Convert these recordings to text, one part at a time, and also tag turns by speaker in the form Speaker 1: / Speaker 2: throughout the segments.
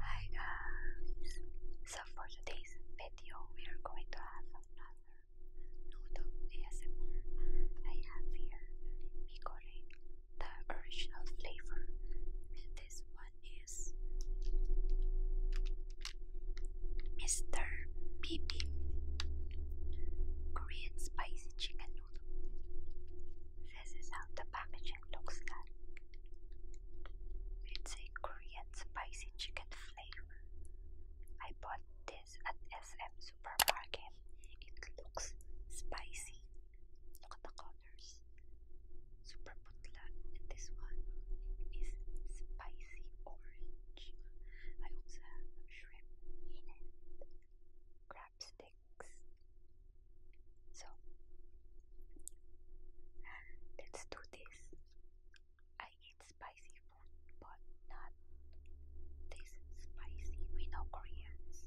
Speaker 1: Hi guys! So for today's video we are going to have another noodle ASMR. I have here Mikore, the original flavor. And this one is Mr. Bibi. Korean spicy chicken noodle. This is how the packaging looks like. It's a Korean spicy chicken flavor. I bought this at SM Supermarket. It looks spicy. Look at the colors. Super putla. And this one is spicy orange. I also have shrimp crab sticks. So let's do this. I eat spicy food, but not this spicy. We know Koreans.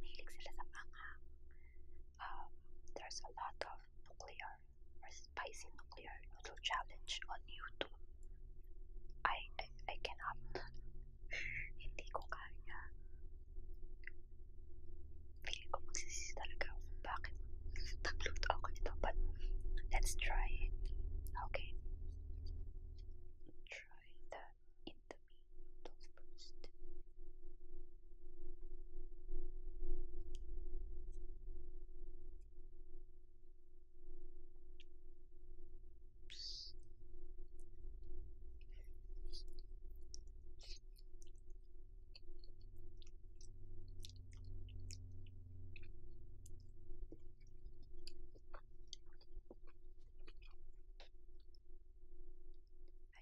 Speaker 1: Mahilig sila sa Um, there's a lot of nuclear spicy nuclear noodle challenge on YouTube. I, I, I cannot. Hindi ko kaya. Feeling ko magsisisi talaga ako bakit nagluto ako nito. But let's try it. Okay. Try the indomie noodles first. I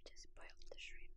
Speaker 1: just boiled the shrimp.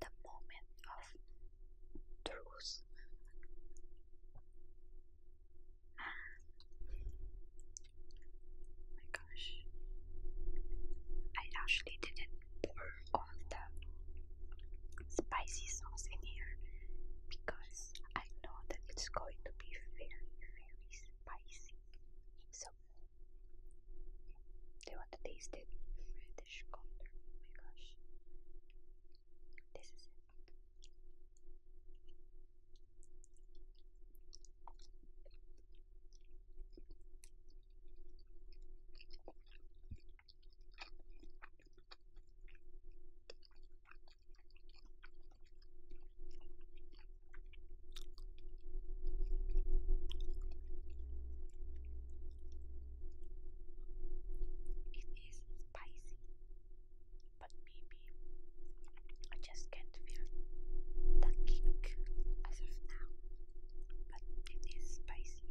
Speaker 1: the moment of truth. Ah. Oh my gosh, I actually didn't pour all the spicy sauce in here because I know that it's going to be very, very spicy. So they want to taste it. Oh my gosh. This is it. It is spicy, but maybe I just can't feel the kick as of now. But it is spicy.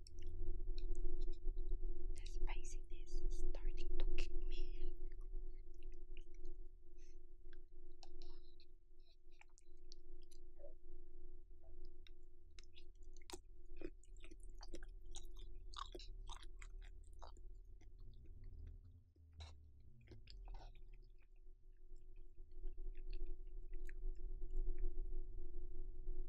Speaker 1: The spiciness is starting to kick me in.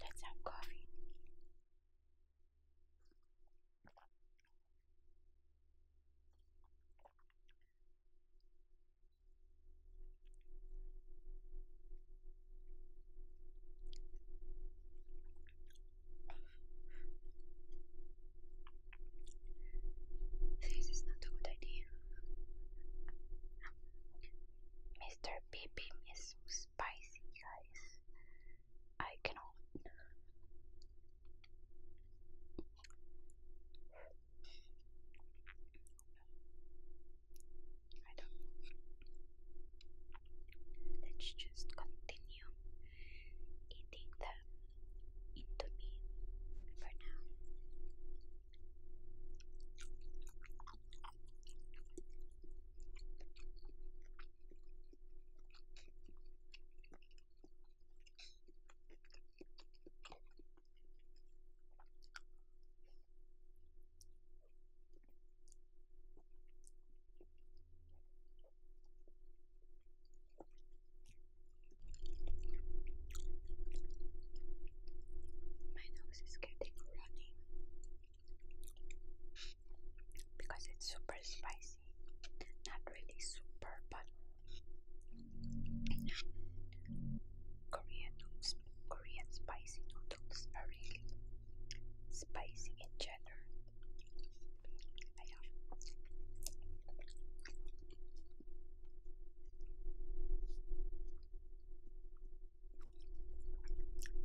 Speaker 1: Let's have coffee. This is not a good idea. Mr. Beeping is spicy, guys. I cannot. I do Let's just continue eating them into me for now. My nose is getting running because it's super spicy. Not really super, but Korean Korean spicy noodles are really spicy in general.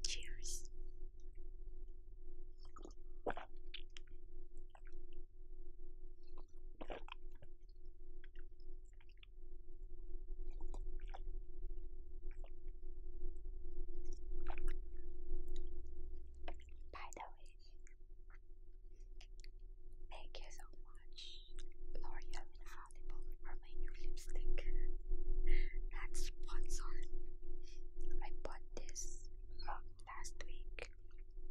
Speaker 1: Cheers. By the thank you so much, L'Oreal Infallible, for my new lipstick. That's sponsored. I bought this uh, last week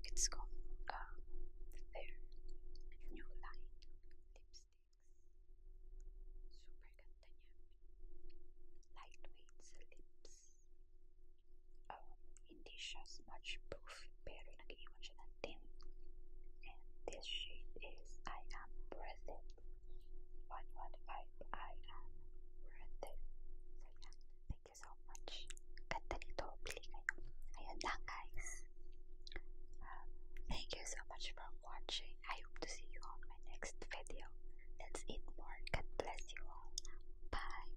Speaker 1: it's called uh, their new line lipsticks. Super ganda Lightweight lips. Um, oh, hindi proof pero nag-iwan siya ng And this shade is I Am Worth It. 115 I Am Worth So yeah, Thank you so much. thank you for watching. I hope to see you on my next video. Let's eat more. God bless you all. Bye.